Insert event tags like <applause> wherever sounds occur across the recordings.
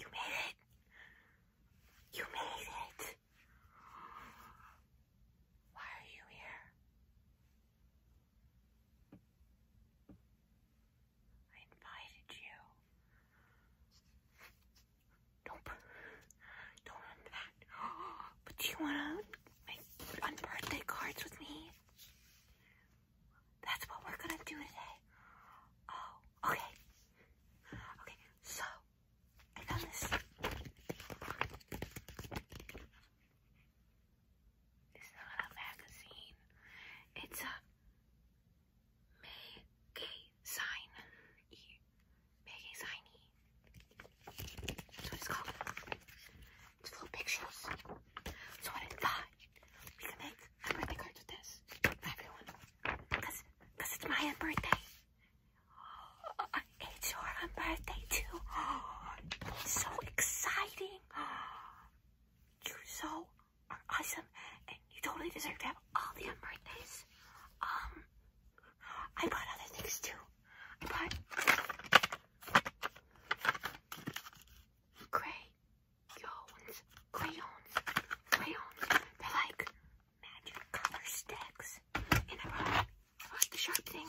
You made it. You made it. Why are you here? I invited you. Nope. Don't remember that. <gasps> But do you wanna make unbirthday cards with me? That's what we're gonna do today. Oh, okay. Okay, so I found this. It's not a magazine. It's a May sign E. May sign E. it's called. It's full pictures. So I thought we can make birthday cards with this everyone. Because it's my birthday. Uh, it's your birthday too. <gasps> so exciting. <gasps> you so are awesome and you totally deserve to have all the birthdays. Um, I bought other things too. I bought crayons, crayons, crayons. They're like magic color sticks. And I bought, I bought the sharp things.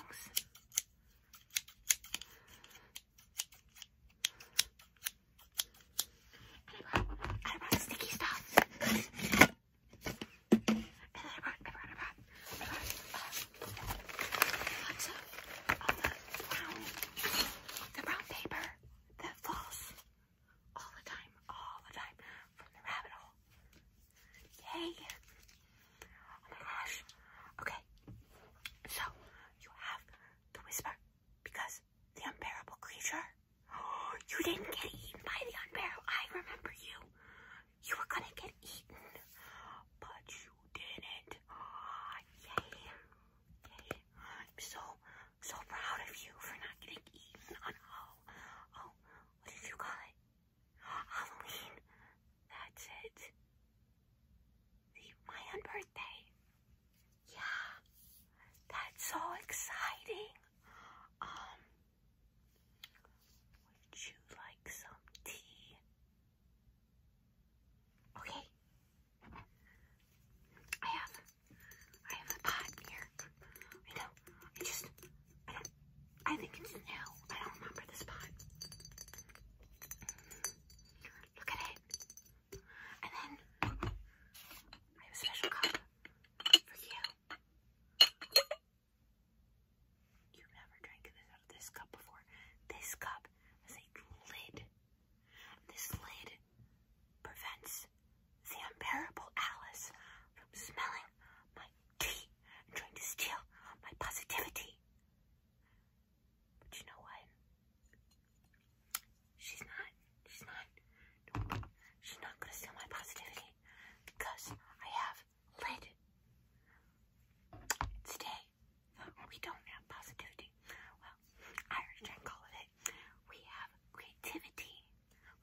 I brought, I brought sticky stuff. And then I brought, I brought, I brought, I brought all the brown, the brown paper that falls all the time, all the time from the rabbit hole. Yay! Oh my gosh. Okay. So, you have to whisper because the unbearable creature? <gasps> You didn't get eaten by the unbearable. I remember you. You were gonna get eaten, but you didn't. Oh, <gasps> yay. Yay. I'm so, so proud of you for not getting eaten on oh, oh, what did you call it? Halloween. That's it. The, my own birthday. Yeah, that's so exciting. Um, would you like some tea? Okay. I have, I have a pot here. I know. I just, I don't, I think it's new. I don't remember this pot. Look at it. And then I have a special cup for you. You've never drank this out of this cup before. This cup has a lid. this lid prevents the unbearable Alice from smelling my tea and trying to steal my positivity. But you know what? She's not. She's not. she's not gonna steal my positivity because I have lid. Today, we don't have positivity. Well, I reject all it. We have creativity,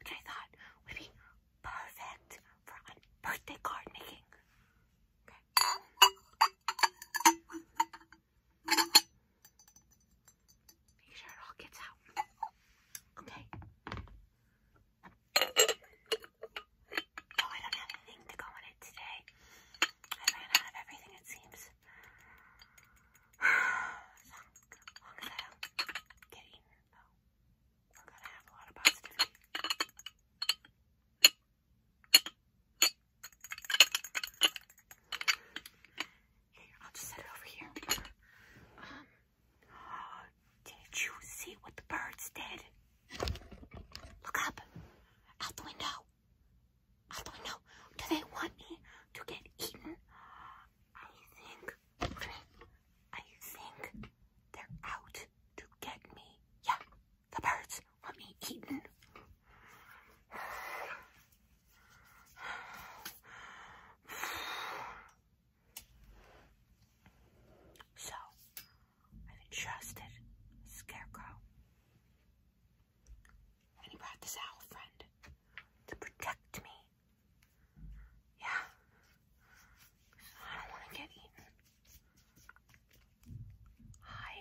which I thought would be perfect for birthday card making. Make sure it all gets out. Okay. Oh, I don't have anything to go in it today. I ran out of everything, it seems. so, long gonna have a lot of positivity. I'll just set it over here. Um, <gasps> did you see what the birds did? Look up. Out the window. Out the window. Do they want me to get eaten? I think, I think they're out to get me. Yeah, the birds want me eaten. So, I've Scarecrow, and he brought this owl friend to protect me. Yeah, I don't want to get eaten. Hi.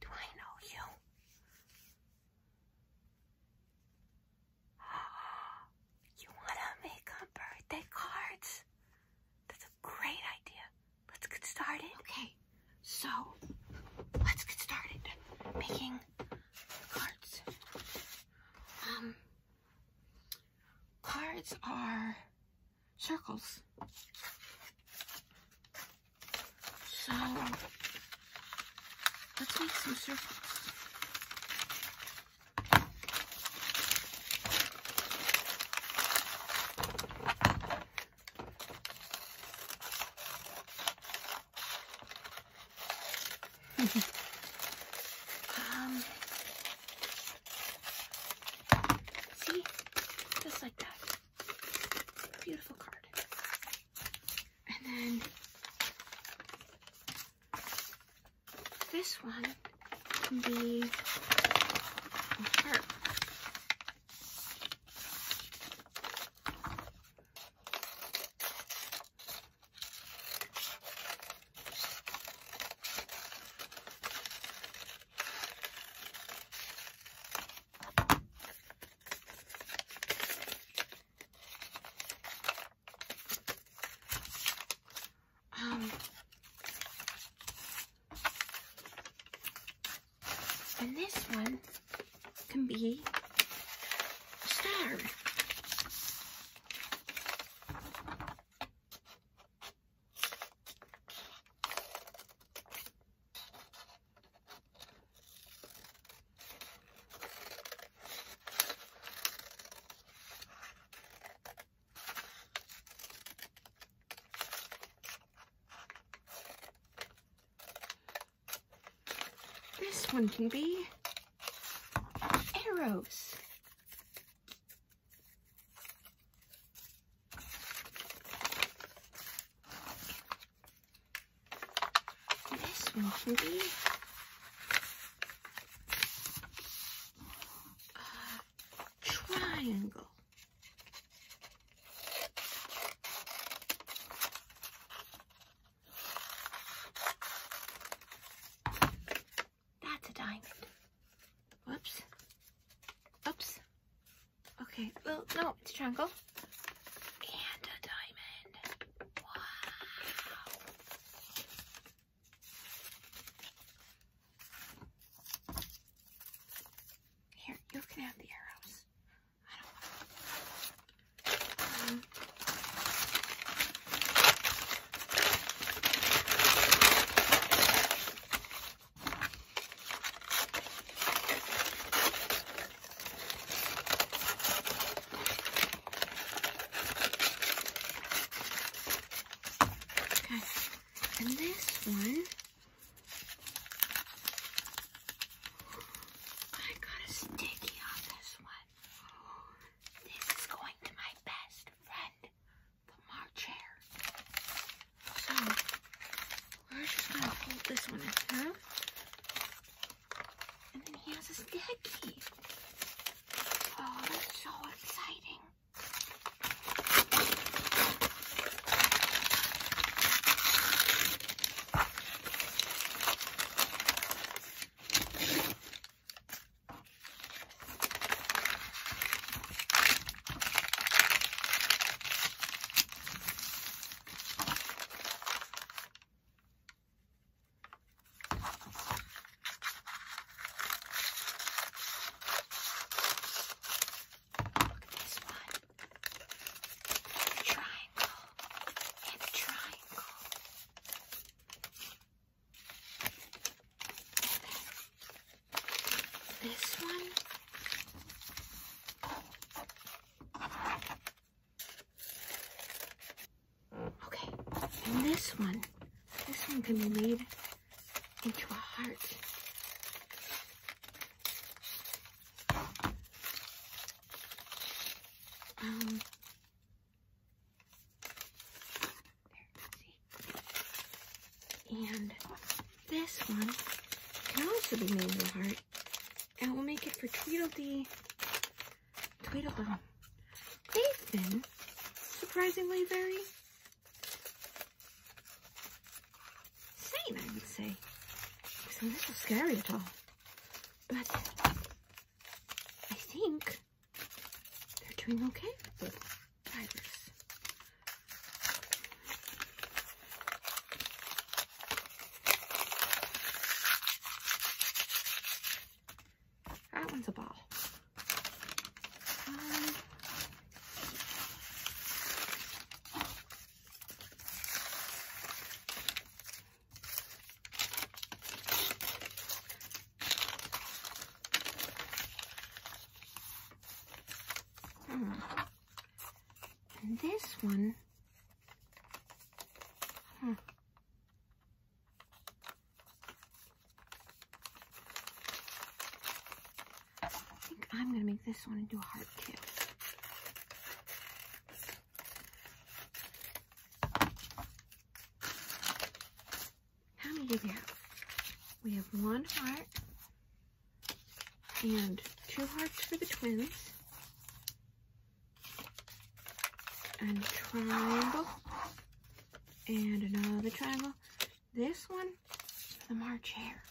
Do I know you? <gasps> You want to make birthday cards? That's a great idea. Let's get started. Okay, so let's get started making cards. Um, cards are circles. So let's make some circles. <laughs> um, See? Just like that. Beautiful card. And then this one can be a heart. Um, and this one can be a star. This one can be arrows. This one be a triangle. That's a diamond. Whoops. Oops. Okay, well, no, it's a triangle. Here, you can have the arrows and this one. I got a sticky on this one. This is going to my best friend the March So we're just gonna fold this one in half. And then he has a sticky. Oh, that's so exciting. Look at this one. Triangle and triangle. And then this one. Okay, this one, this one can be made into a heart. Um, there, see. And this one can also be made into a heart. And we'll make it for Tweedledee, Tweedledum. They've been surprisingly very sane, I would say. It's a little scary at all. But I think they're doing okay that one's a ball. Um, hmm. And this one, I think I'm going to make this one into a heart too. How many did we have? We have one heart, and two hearts for the twins. And triangle. And another triangle. This one for the March Hare.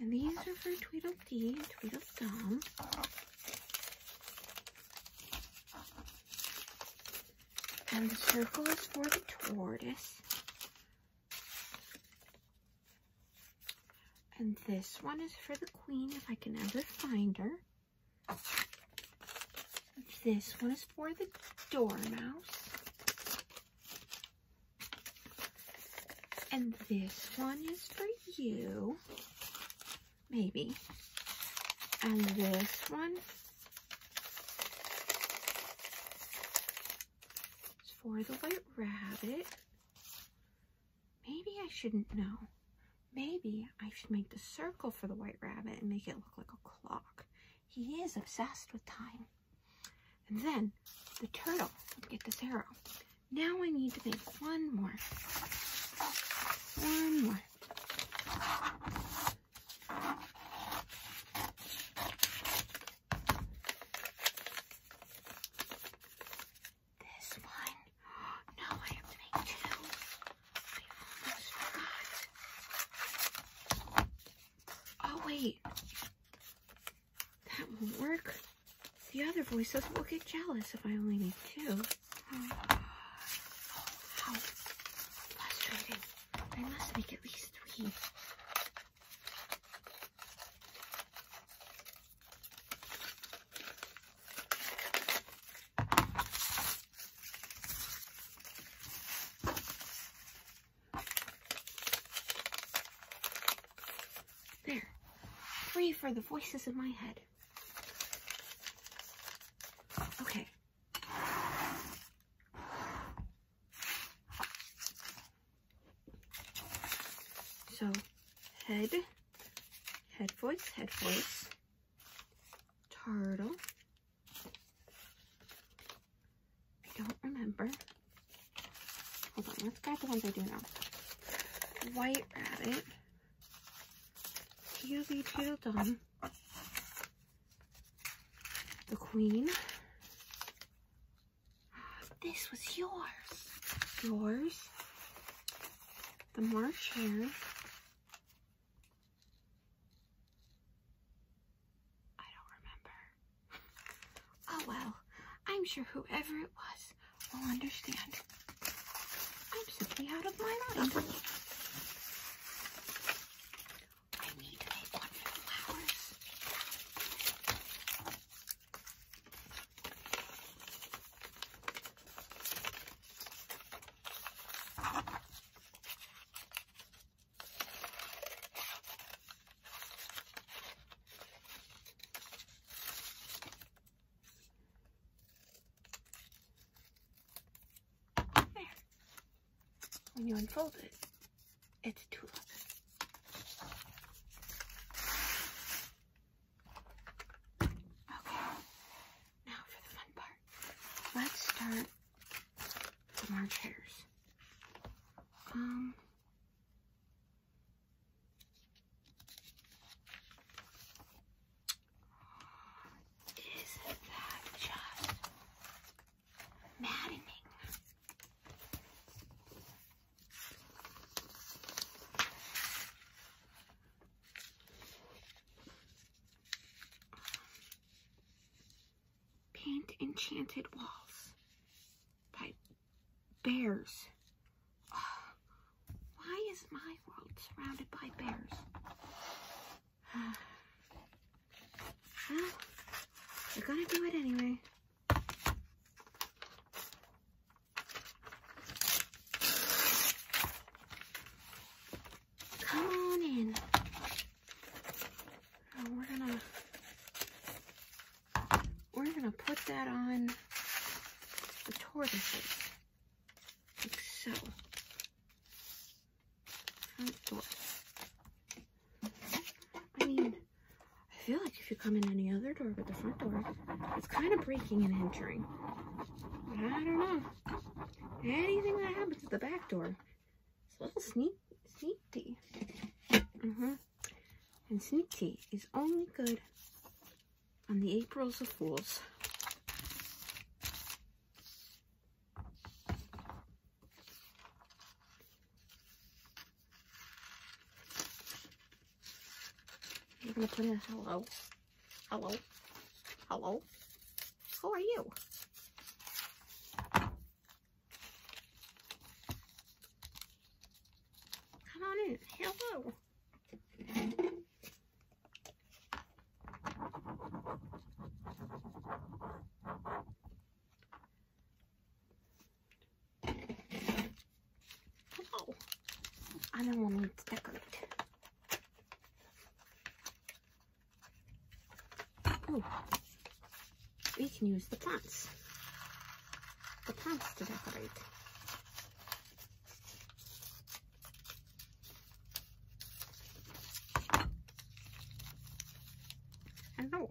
And these are for Tweedledee and Tweedledum. And the circle is for the tortoise. And this one is for the queen, if I can ever find her. This one is for the dormouse. And this one is for you. Maybe. And this one it's for the White Rabbit. Maybe I shouldn't know. Maybe I should make the circle for the White Rabbit and make it look like a clock. He is obsessed with time. And then the turtle would get this arrow. Now I need to make one more. One more. This one. No, I have to make two. I almost forgot. Oh, wait. That won't work. The other voices will get jealous if I only make two. Oh, how frustrating. I must make at least three. There. Free for the voices in my head. Okay. So head, head voice, head voice, turtle. I don't remember. Hold on, let's grab the ones I do know. White rabbit, Tealy Tealdum, the queen, this was yours. Yours. The March hair. I don't remember. Oh well, I'm sure whoever it was will understand. I'm simply out of my mind. I need to make flowers when you unfold it, it's too. Okay, now for the fun part. Let's start from our chairs. Um, isn't that just maddening. Paint Enchanted Walls by Bears. <sighs> why is my world surrounded by bears? <sighs> well, we're gonna do it anyway. Come on in. we're gonna we're gonna put that on the tortoise, like so. I mean, I feel like if you come in any other door but the front door, it's kind of breaking and entering. I don't know. Anything that happens at the back door, it's a little sneaky. sneaky. Mm-hmm. uh And sneaky is only good on the Aprils of Fools. I'm gonna put in hello. Hello. Hello. Who are you? Come on in. Hello. Oh, and then we to decorate. we can use the plants. The plants to decorate. Hello.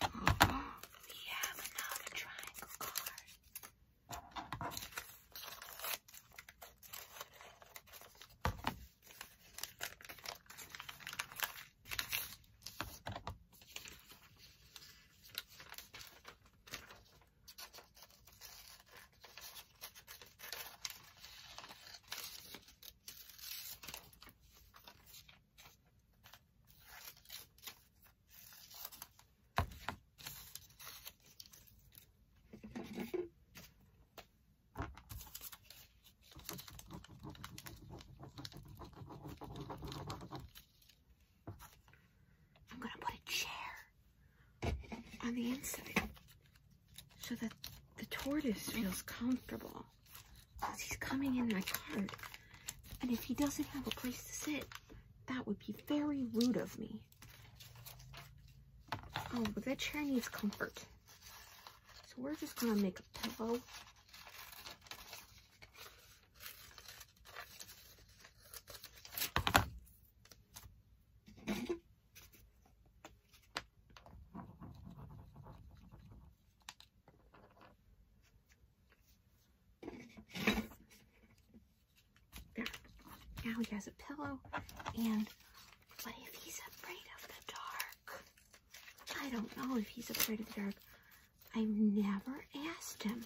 We have another triangle card. I'm going to put a chair on the inside so that the tortoise feels comfortable. Oh, he's coming in my cart. And if he doesn't have a place to sit, that would be very rude of me. Oh, but that chair needs comfort. So we're just going to make a pillow. There. Now he has a pillow. And what if he's afraid of the dark? I don't know if he's afraid of the dark. I've never asked him.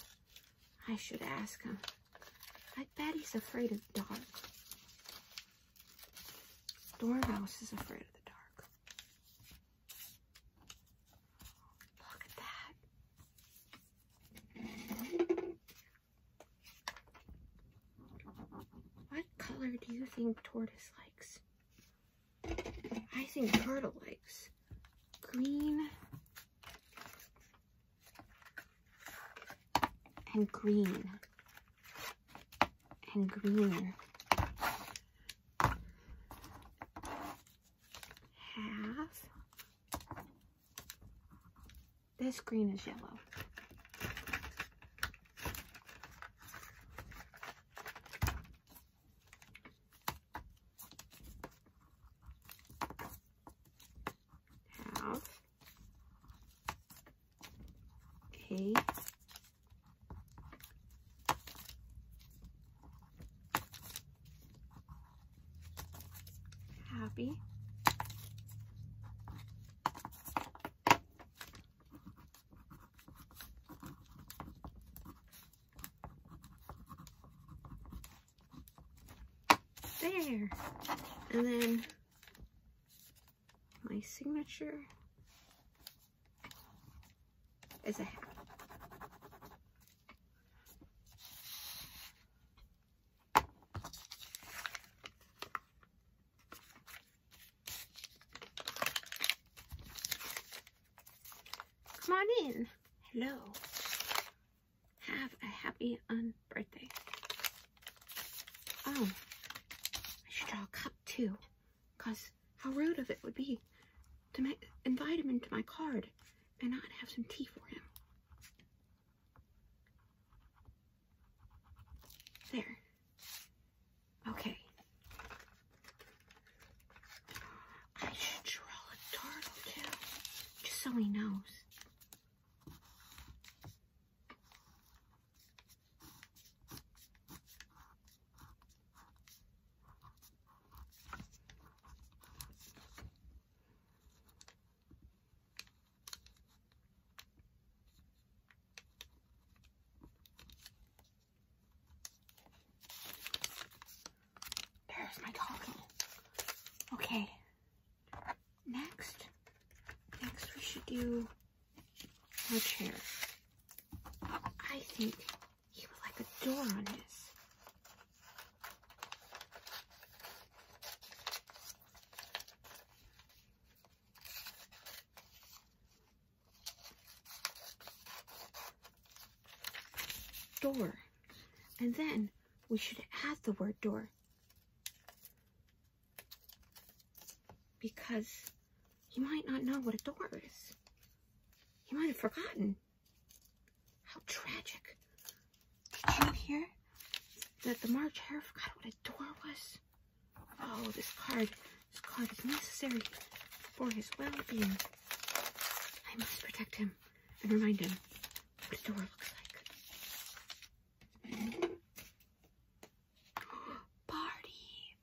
I should ask him. I bet he's afraid of the dark. Dormouse is afraid of the dark. Look at that. What color do you think tortoise likes? I think turtle likes green and green and green half. This green is yellow. Half. Okay. Happy. There. And then my signature is it? hat. Come on in. Hello. Have a happy um, birthday. Oh, I should draw a cup too, because how rude of it would be to invite him into my card and not have some tea for him. There. Okay. I should draw a turtle too, just so he knows. There's my talking. Okay. Next, next we should do our chair. I think he would like a door on his Door. And then we should add the word door. Because he might not know what a door is. He might have forgotten. How tragic. Did you hear that the March Hare forgot what a door was? Oh, this card. This card is necessary for his well-being. I must protect him and remind him what a door looks like. Party! <gasps>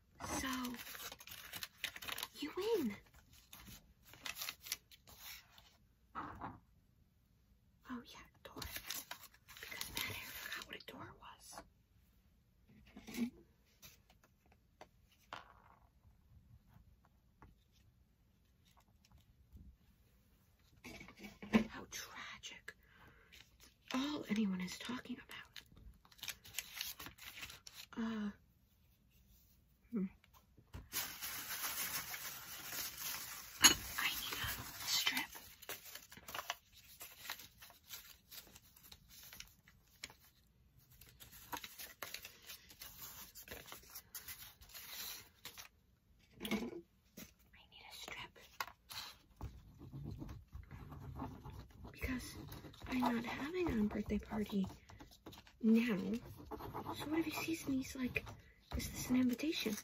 So, you win. Oh, yeah, door. Because Matt forgot what a door was. How tragic. All anyone is talking about. Uh, Hmm. I need a strip. I need a strip because I'm not having a birthday party now. So what if he sees me? he's like, is this an invitation?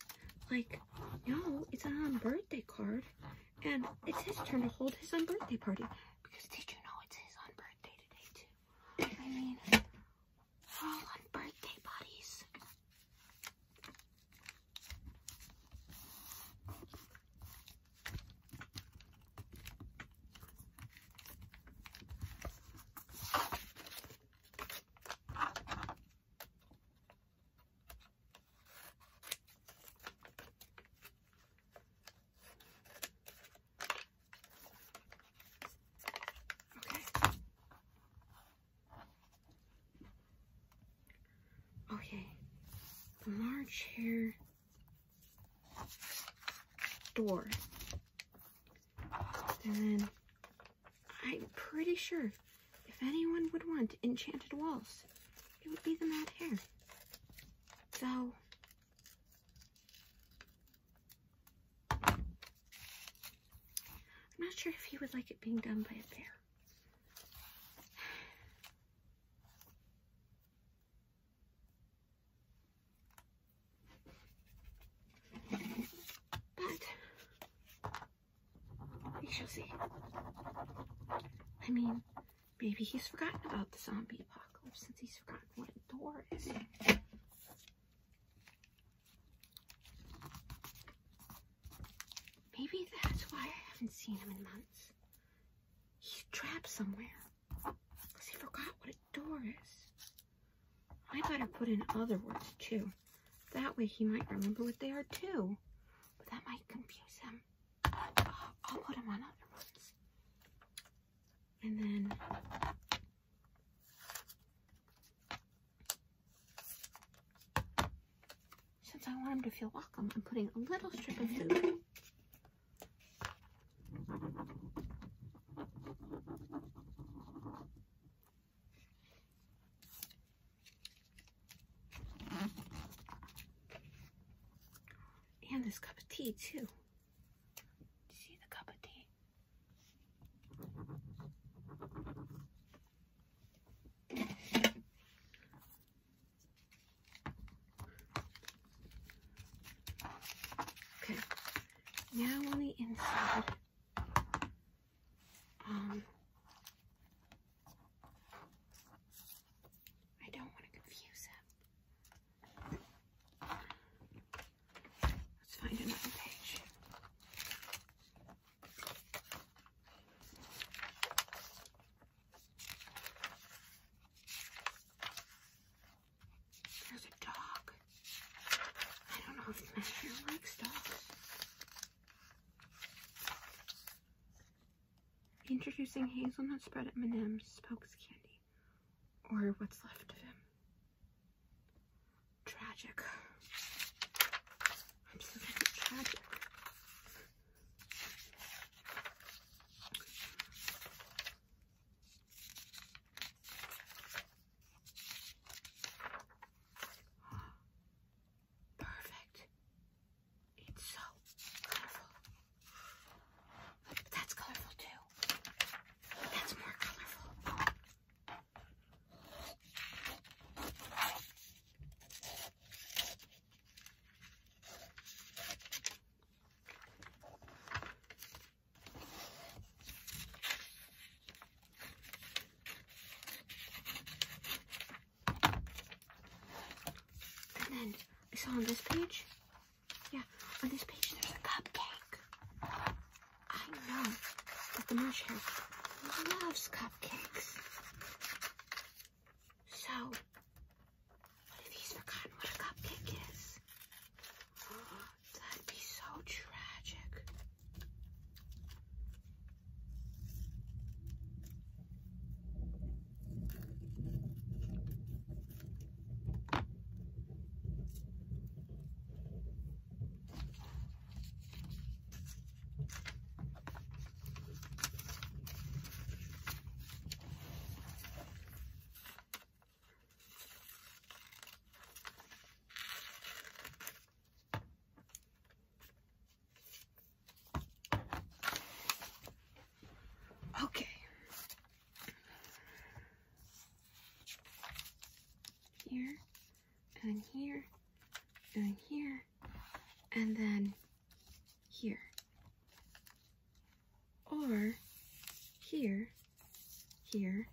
Like, no, it's an on birthday card. And it's his turn to hold his on birthday party. Because did you know it's his on birthday today too? I mean, all on birthday parties. Okay. Okay. The March here door. And then I'm pretty sure if anyone would want enchanted walls, it would be the Mad Hare. So, I'm not sure if he would like it being done by a bear. But we shall see. I mean, maybe he's forgotten about the zombie apocalypse since he's forgotten what a door is. Maybe that's why I haven't seen him in months. He's trapped somewhere. She forgot what a door is. I better put in other words too. That way he might remember what they are too. But that might confuse him. Uh, I'll put him on other ones. And then since I want him to feel welcome, I'm putting a little strip of glue. And this cup of tea too. See the cup of tea. Okay, now on the inside, um, I don't want to confuse it. Let's find another page. There's a dog. I don't know if the manager likes dogs. Introducing hazelnut spread at Madam's spokes candy, or what's left of him. Tragic. Absolutely tragic. Perfect. It's so colorful. That's colorful too. That's more colorful. And then I saw on this page, yeah, on this page there's a cupcake. I know that the marshmallow loves cupcakes. So what if he's forgotten what a cupcake is. Oh, that'd be so tragic. Okay. Here, and here, and here, and then here or here, here,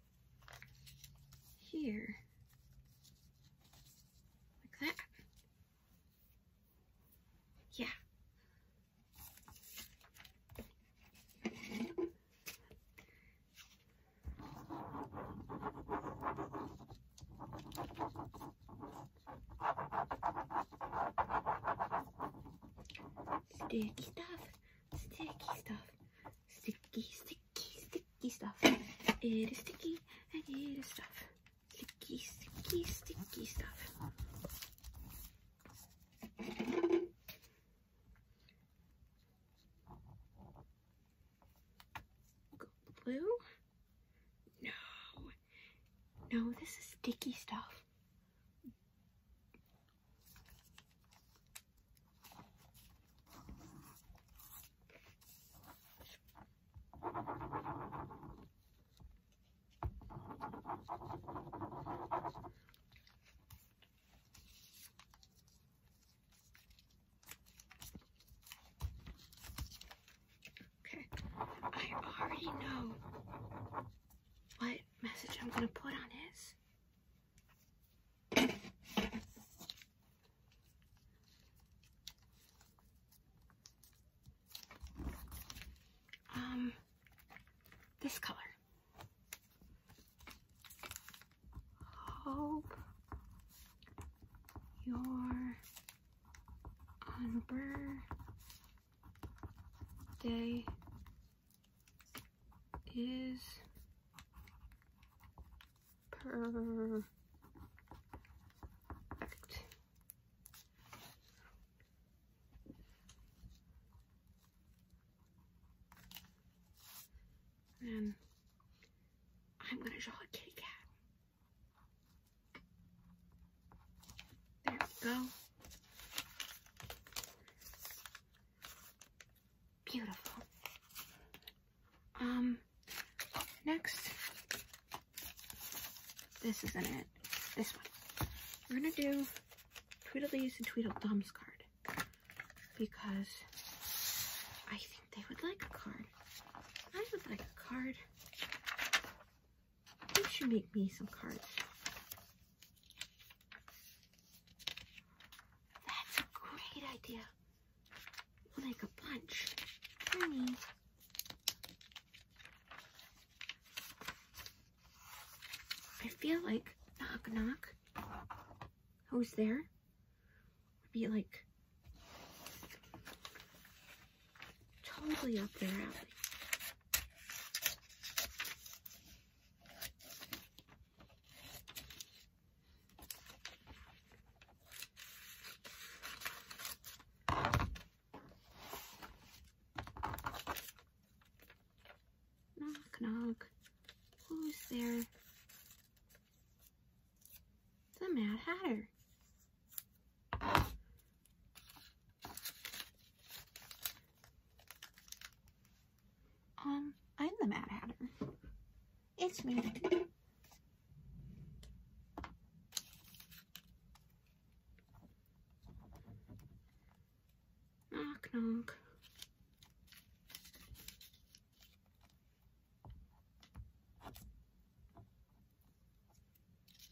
here, like that. Yeah. Sticky stuff sticky stuff. Sticky, sticky, sticky stuff. It is sticky and it is stuff. Sticky, sticky, sticky stuff. Glue? No. No, this is sticky stuff. Okay, I already know what message I'm going to put on his. <coughs> Um, this color. Hope your birthday is perfect. And I'm going to draw a kitty cat. There we go. Beautiful. Um, next, this isn't it. This one. We're gonna do Tweedledee's and Tweedledum's card because I think they would like a card. I would like a card. You should make me some cards. That's a great idea. We'll make a bunch. I feel like knock knock. Who's there? Would be like totally up there. Knock, knock. Who's there? The Mad Hatter. Um, I'm the Mad Hatter. It's me. Knock, knock.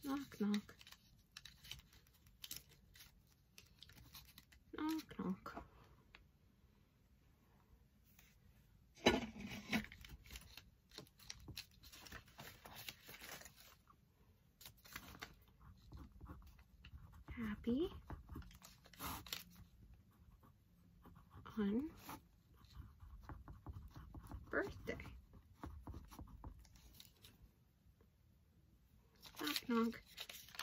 Knock, knock. Knock, knock. Happy. On birthday.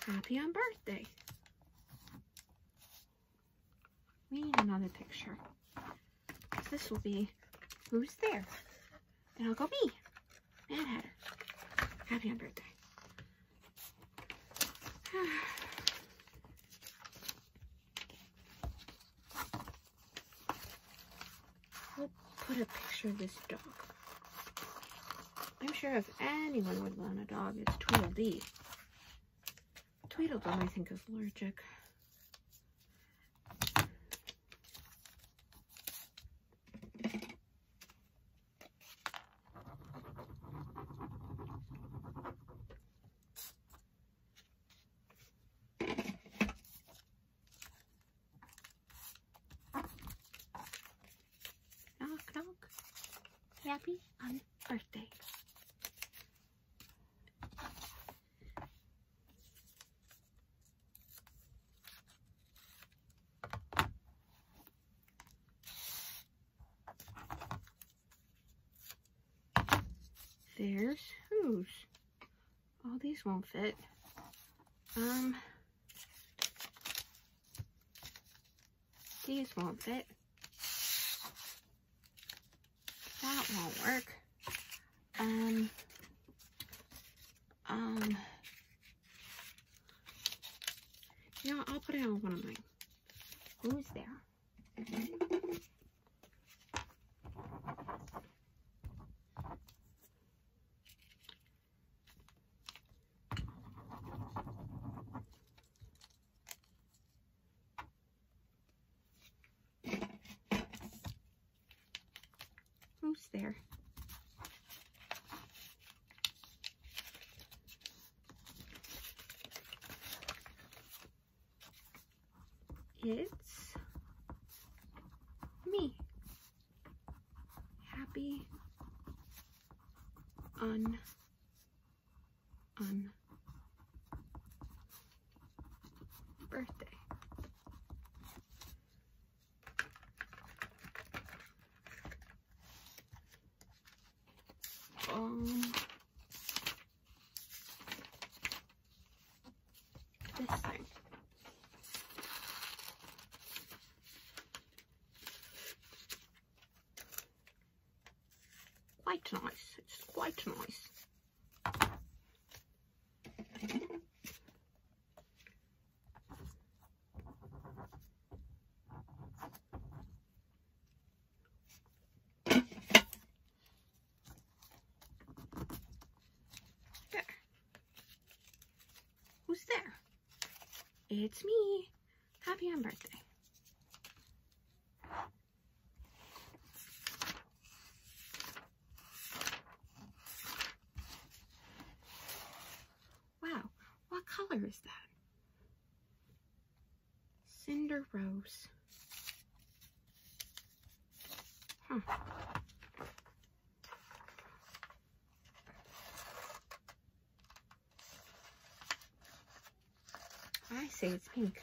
Happy on birthday. We need another picture. This will be who's there. And I'll go me, Mad Hatter. Happy on birthday. i <sighs> will put a picture of this dog. I'm sure if anyone would want a dog, it's Tweedledee. Tweedledum, I think, is allergic. Knock, knock. Happy on birthday. There's shoes. All these won't fit. Um, these won't fit. That won't work. Um, um, you know, I'll put it on one of mine. Who's there? Who's there. It's me. Happy un, un, birthday. Um, this thing. Quite nice, it's quite nice. There. It's me happy on birthday. Wow, what color is that? Cinder Rose. I say it's pink.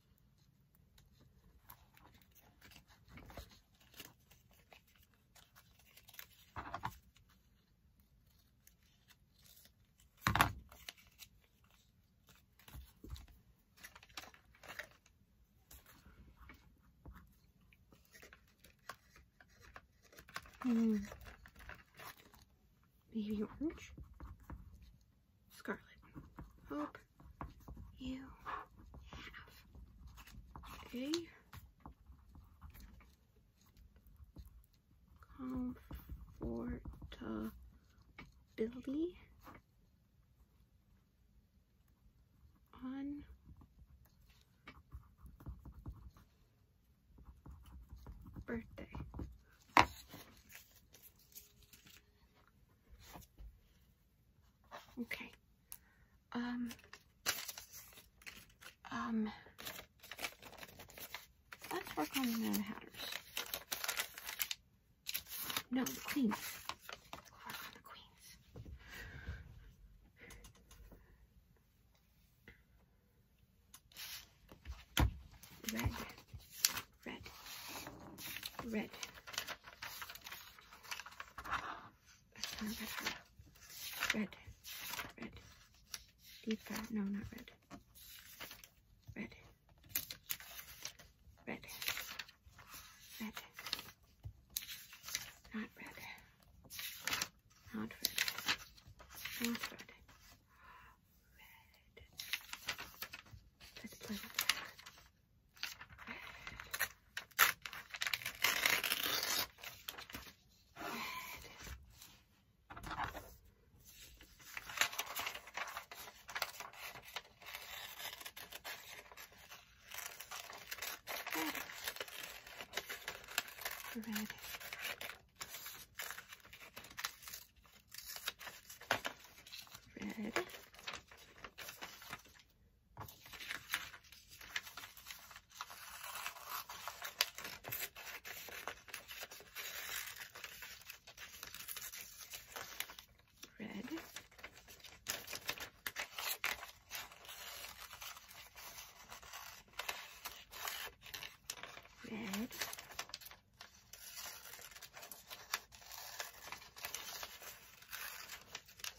And hmm. maybe orange, scarlet, hope, oh, you have a comfortability on birthday. Okay. Um. Um. Let's work on the Hatters. No, the Queens. work on the Queens. Red. Red. Red. Red, red, red. Deep red. No, not red. Red. Red. Red. Not red. Not red. Not red. Red. Let's play with that. Red. Red. Red. Red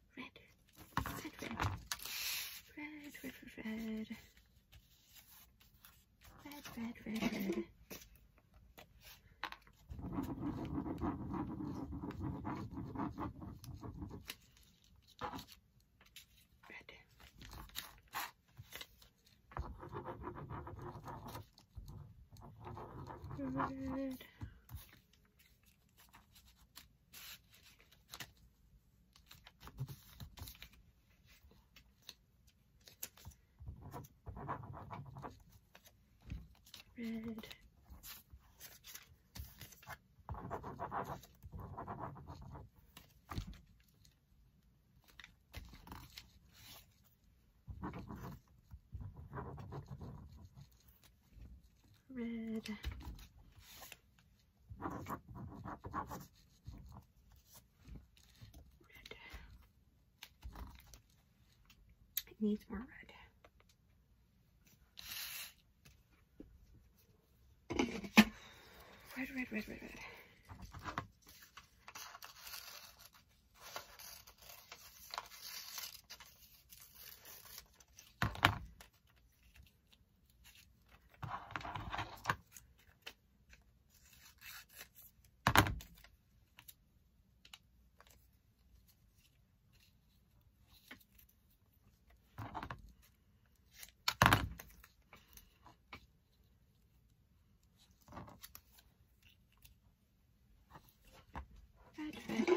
red, red, red, red, red, red, red, red, red, red. Red. Red. Red. Red. Red. It needs more red. Red, red, red, red, red. Red, red.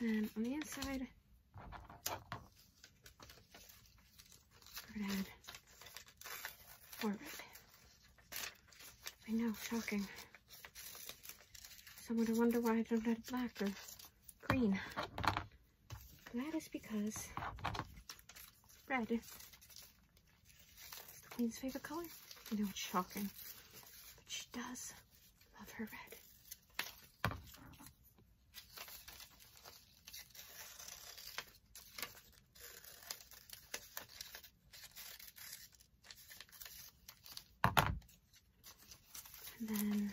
And then on the inside, we're gonna add more I know, shocking. Someone to wonder why I don't add black or green. That is because red is the queen's favorite color. I know it's shocking, but she does love her red. And then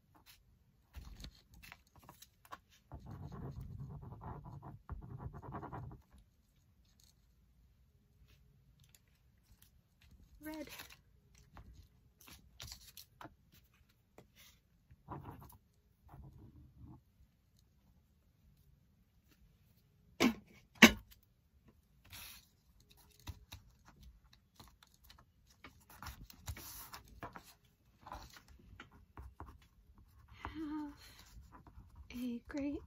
Red. Have a great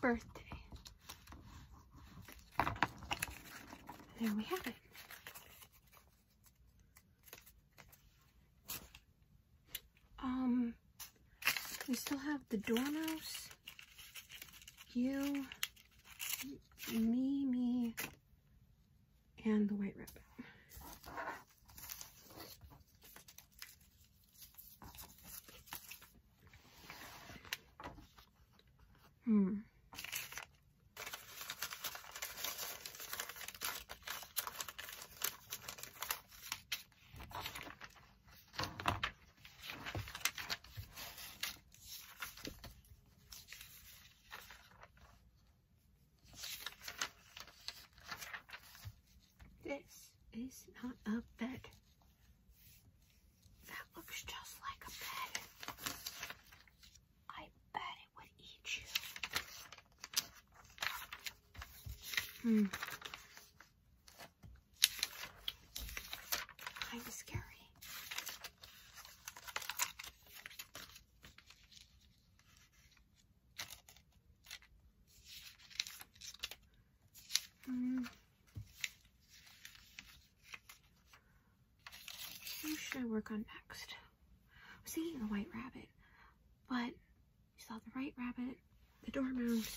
birthday. There we have it. Um, we still have the Dormouse, you, me, me, and the White Rabbit. Hmm. This is not a bed. That looks just like a bed. I bet it would eat you. Hmm. Kind of scary. Mm. Who should I work on next? I was thinking the white rabbit, but you saw the white rabbit, the dormouse,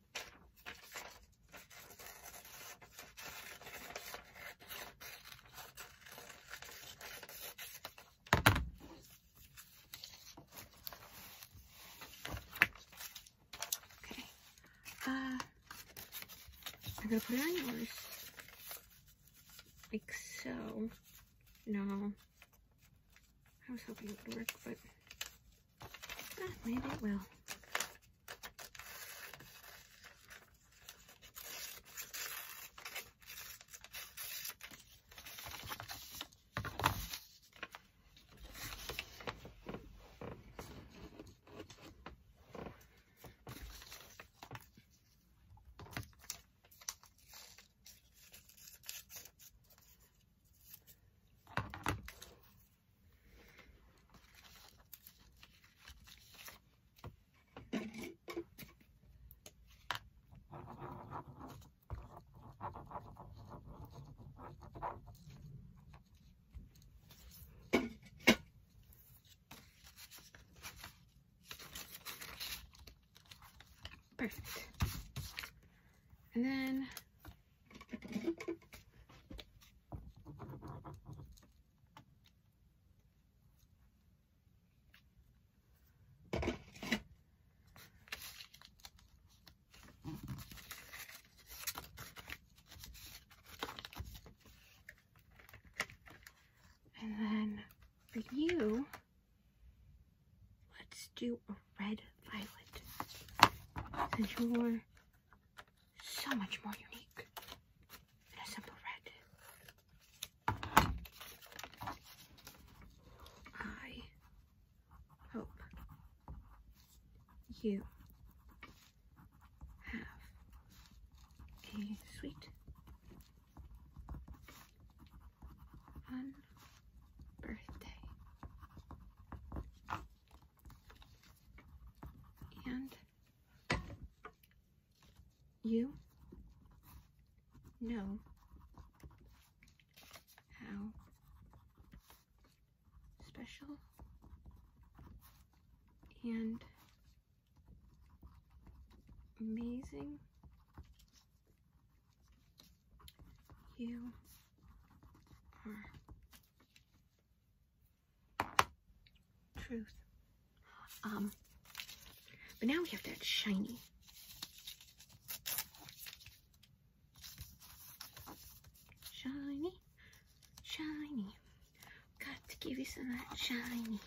Okay. Uh, I'm gonna put it on yours. Like so. No. I was hoping it would work, but Eh, maybe it will. Perfect. And then and then for you, let's do a red violet. Since you're so much more unique than a simple red. I hope you have a sweet, fun birthday. And you know how special and amazing you are. Truth. Um, but now we have that shiny. Shiny, shiny. Got to give you some of that shiny.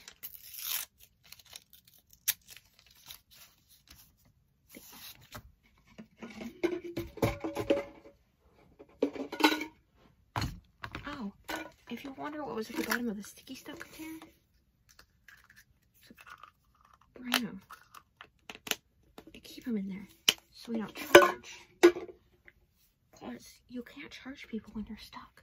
Oh, if you wonder what was at the bottom of the sticky stuff container, rhino. I keep them in there so we don't charge. Because you can't charge people when you're stuck.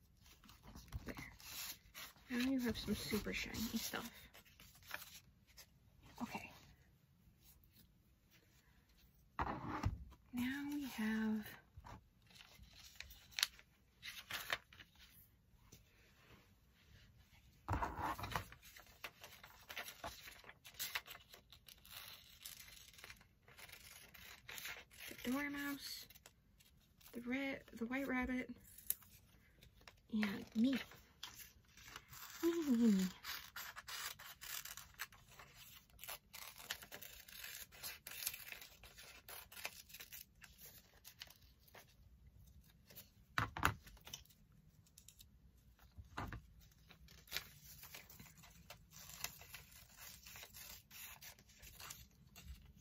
Now you have some super shiny stuff. Okay. Now we have Dormouse, the red, the white rabbit. Yeah, me. me.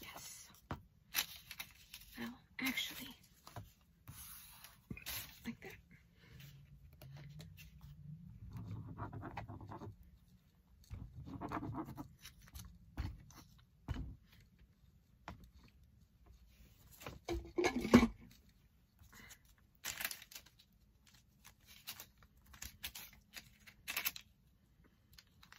Yes. Well, actually, like that.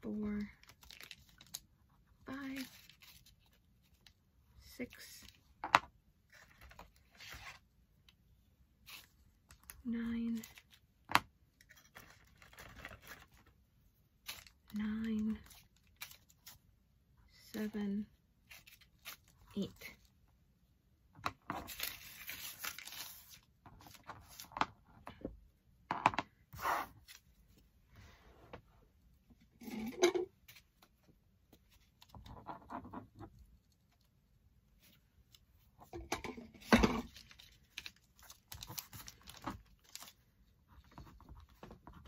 four, five, six, nine, nine, seven, eight.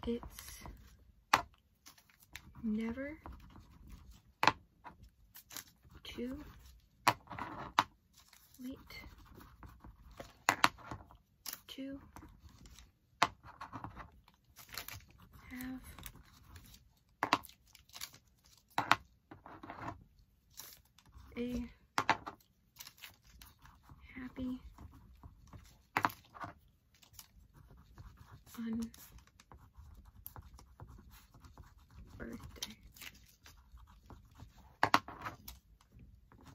It's never too wait, to have a happy, fun birthday.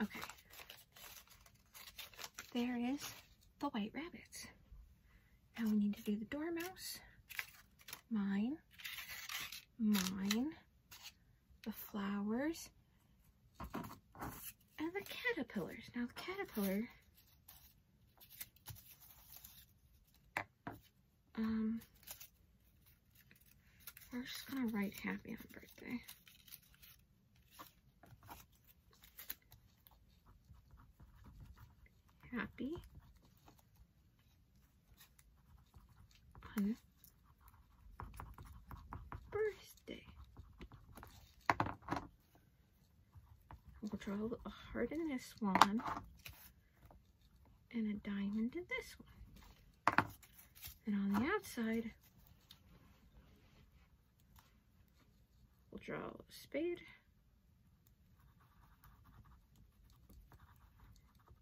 Okay. There is the white rabbit. Now we need to do the dormouse. Mine. Mine. The flowers. And the caterpillars. Now the caterpillar um, we're just gonna write happy on birthday. Happy on birthday. We'll draw a heart in this one and a diamond in this one. And on the outside, We'll draw a spade.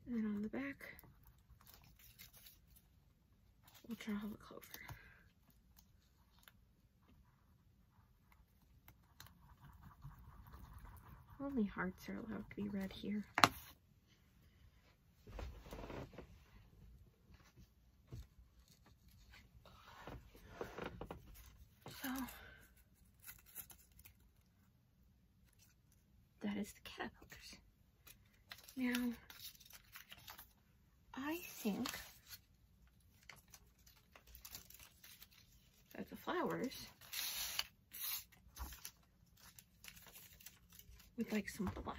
And then on the back, we'll draw a clover. Only hearts are allowed to be red here. So that is the caterpillars. Now I think that the flowers with like some blush.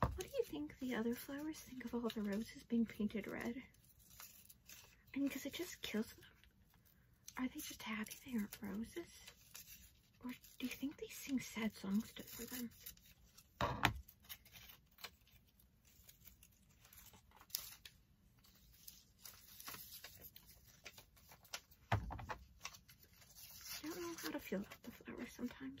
What do you think the other flowers think of all the roses being painted red. And because it just kills them. Are they just happy they aren't roses? Or do you think they sing sad songs to for them? I don't know how to feel about the flowers sometimes.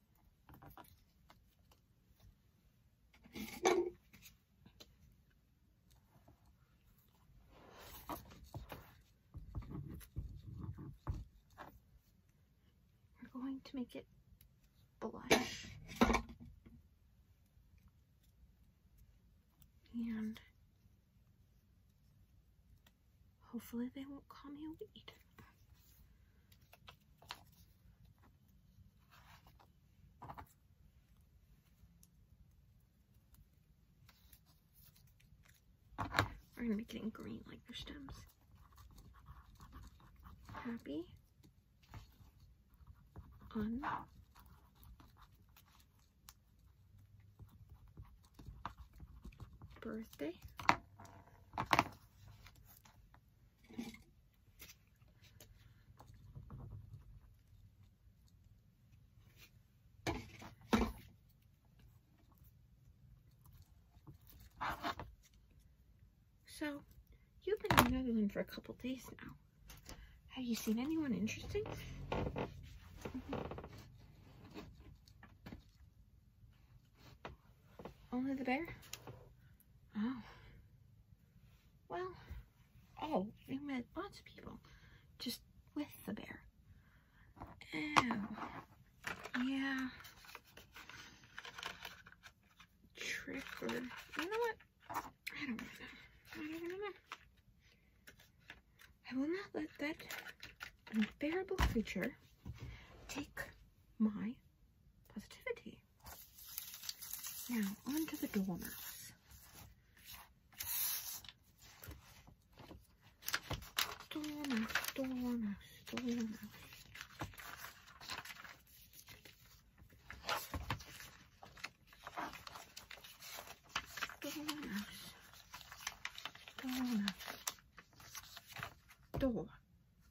We're going to make it blush. And hopefully they won't call me a weed are gonna make it green like their stems. Happy. Un. Birthday. So, you've been in the Netherlands for a couple days now. Have you seen anyone interesting? Mm-hmm. Only the bear? Oh. Well, oh, we met lots of people just with the bear. Oh. Yeah. Trick or, you know what? I don't know. I don't know. I will not let that unbearable creature take my positivity. Now, onto the dormouse. Dormouse, dormouse, dormouse. Dormouse, dormouse, dormouse.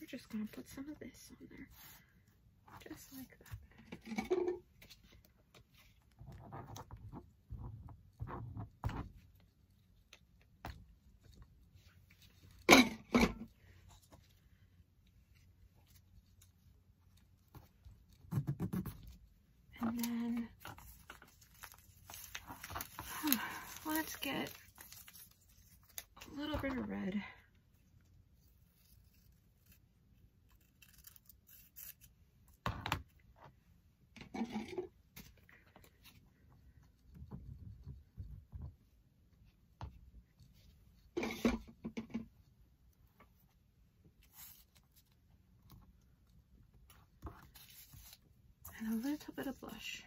we're just going to put some of this on there, just like that. And then <sighs> let's get a little bit of red and a little bit of blush.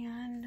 And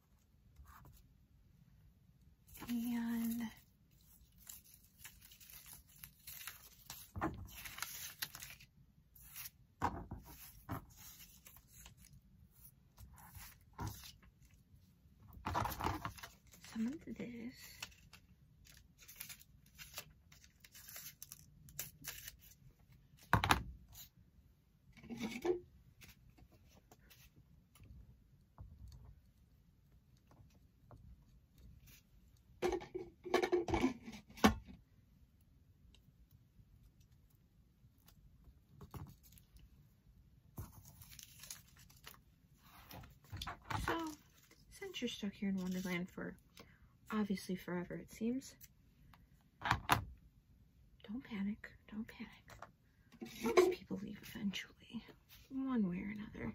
And some of this so, since you're stuck here in Wonderland for obviously forever, it seems, don't panic, don't panic. Most people leave eventually, one way or another.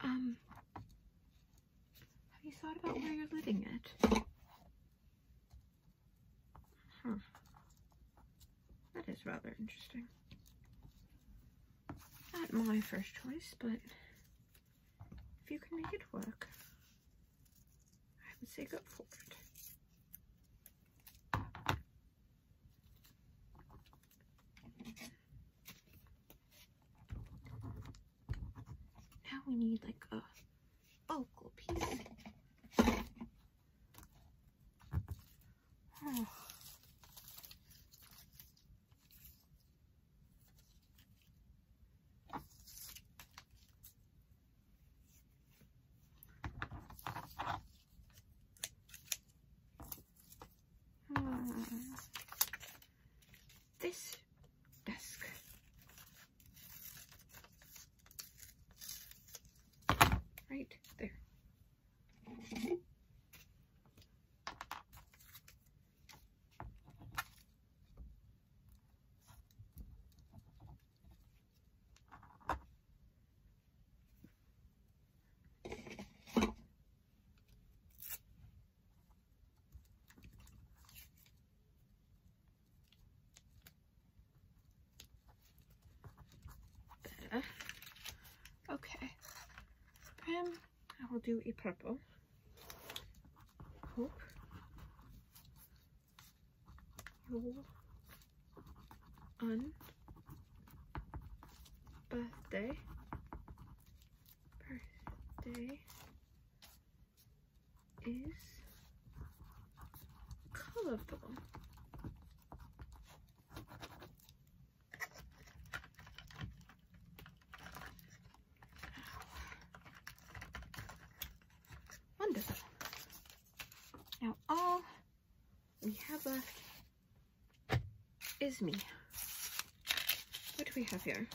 Um, have you thought about where you're living at? Huh. That is rather interesting. Not my first choice, but if you can make it work, I would say go for it. Now we need like a vocal piece. Hmm. This desk. Right there. Okay. Um, I will do a purple. Hope on birthday birthday is colorful wonderful now all we have a me. What do we have here?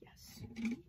Yes.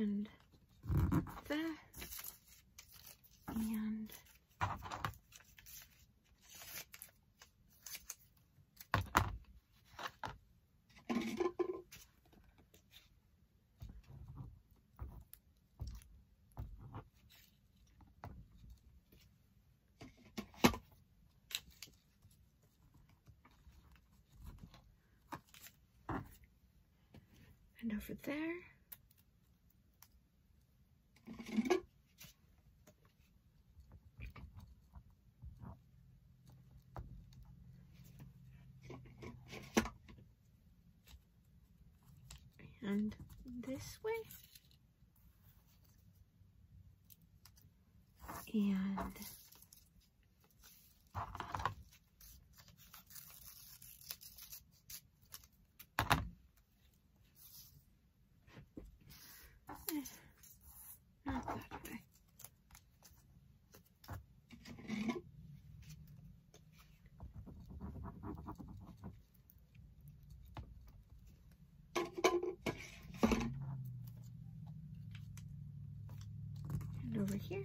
and there and and over there and this way and not that way and over here.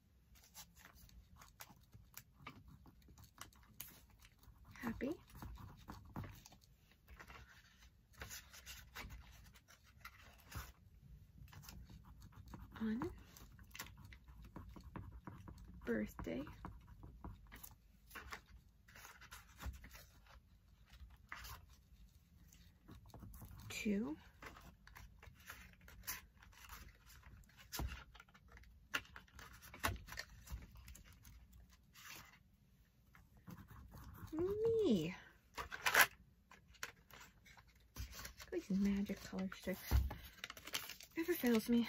Happy. On birthday two, me. These magic color sticks never fails me.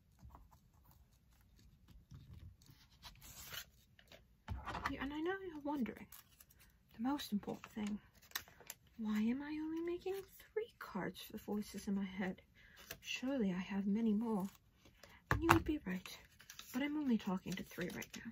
and I know you're wondering, the most important thing, why am I only making three cards for the voices in my head? Surely I have many more. And you would be right, but I'm only talking to three right now.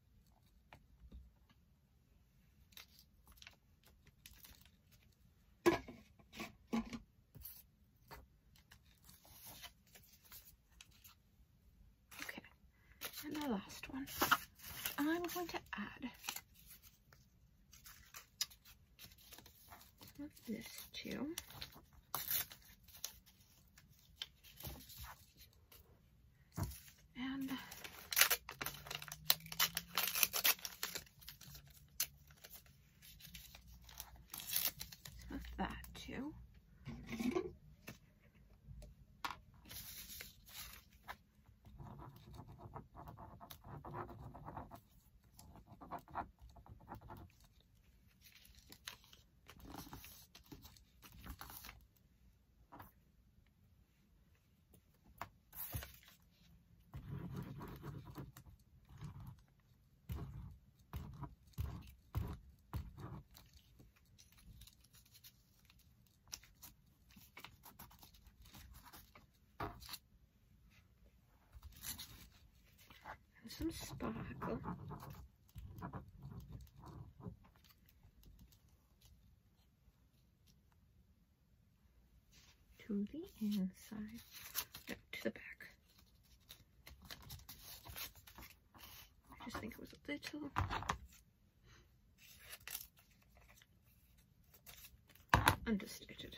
Okay, and the last one. I'm going to add this too. And so that too some sparkle to the inside, to the back. I just think it was a little. Understated.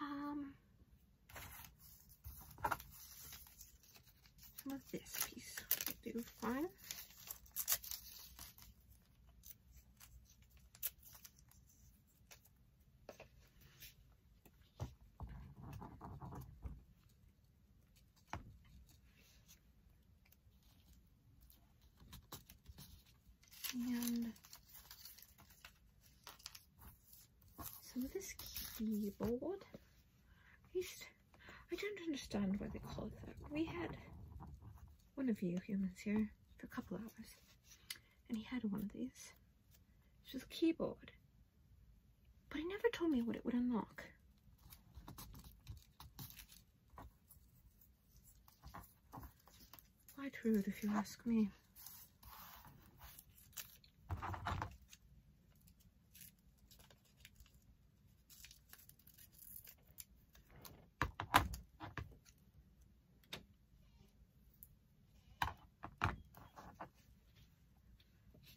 Um, some of this piece will do fun. And some of this keyboard is, I don't understand why they call it that. We had one of you humans here for a couple hours and he had one of these. It's just a keyboard but he never told me what it would unlock. Quite rude if you ask me.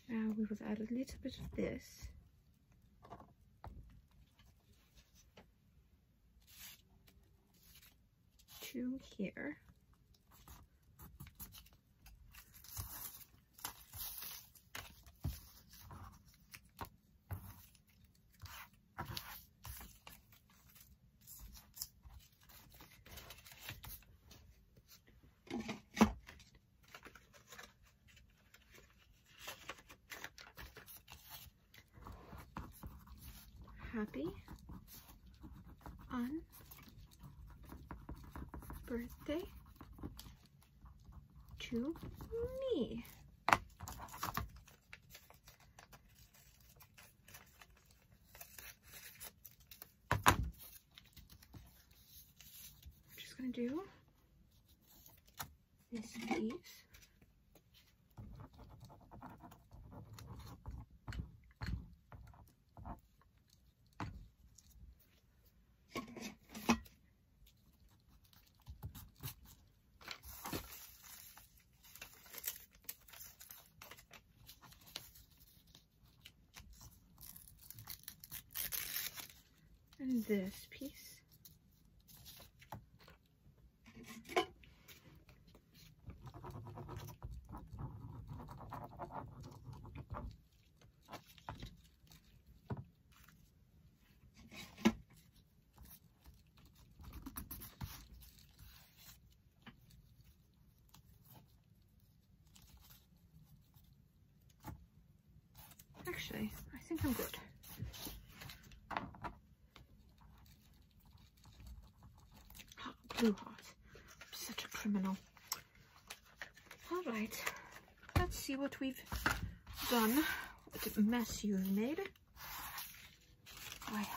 Now we will add a little bit of this. To here. Happy on birthday to me. I'm just gonna do this piece. And this piece. Actually, I think I'm good. Oh, blue heart. such a criminal. All right, let's see what we've done. What mess you've made. Oh,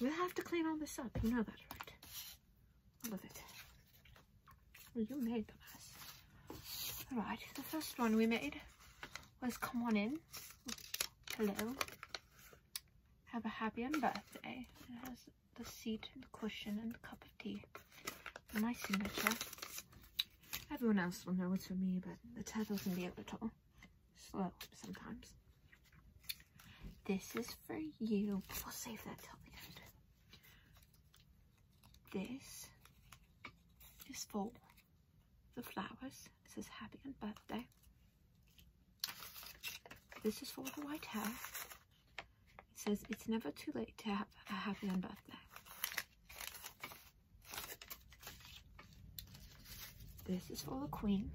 We'll have to clean all this up, you know that, right? What was it. Well, you made them ass. Alright, the first one we made was Come On In. Hello. Have a happy and It has the seat the cushion and the cup of tea. And my signature. Everyone else will know what's for me, but the turtle can be a little slow sometimes. This is for you. We'll save that till the end. This is for the flowers. It says happy on birthday. This is for the white hair. It says it's never too late to have a happy on birthday. This is for the queen.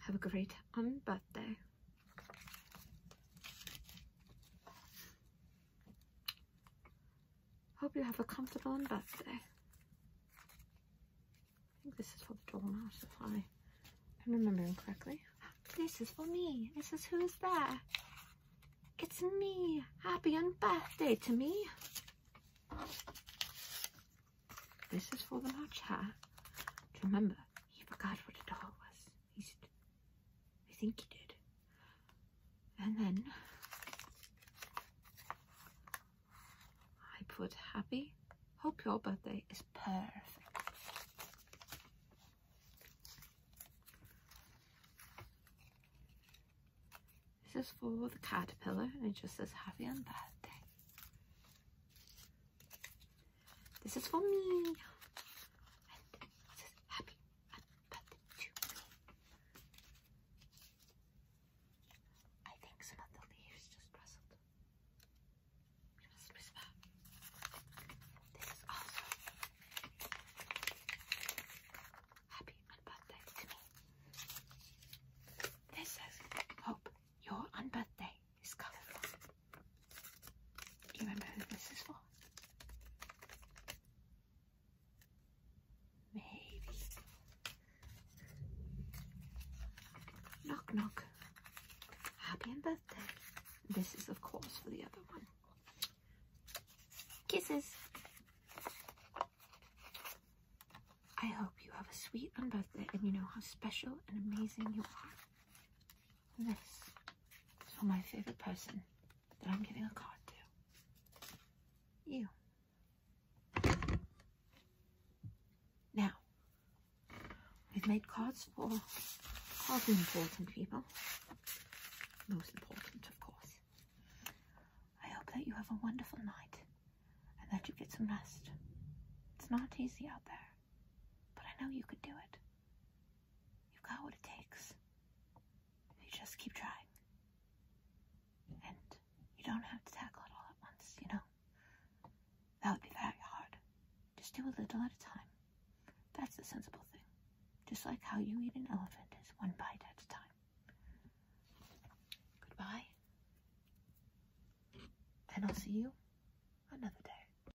Have a great on um, birthday. Hope you have a comfortable and birthday. I think this is for the doormat, if I am remembering correctly. This is for me. This is who is there? It's me. Happy and birthday to me. This is for the match hat. remember, he forgot what a doll was. I think he did. And then I put happy. Hope your birthday is perfect. This is for the caterpillar and it just says happy on birthday. This is for me. happy birthday to me. I think some of the leaves just rustled. This is awesome. Happy birthday to me. This says, hope your on is colorful. Do you remember who this is for? Maybe. Knock knock. Happy and birthday. This is of course for the other one. Kisses. I hope you have a sweet and birthday and you know how special and amazing you are. This for my favorite person that I'm giving a card to. You. Now, we've made cards for all the important people. Most important, of course. I hope that you have a wonderful night and that you get some rest. It's not easy out there. But I know you can do it. You've got what it takes. You just keep trying. And you don't have to tackle it all at once, you know? That would be very hard. Just do a little at a time. That's the sensible thing. Just like how you eat an elephant is one bite at a time. Goodbye. And I'll see you another day.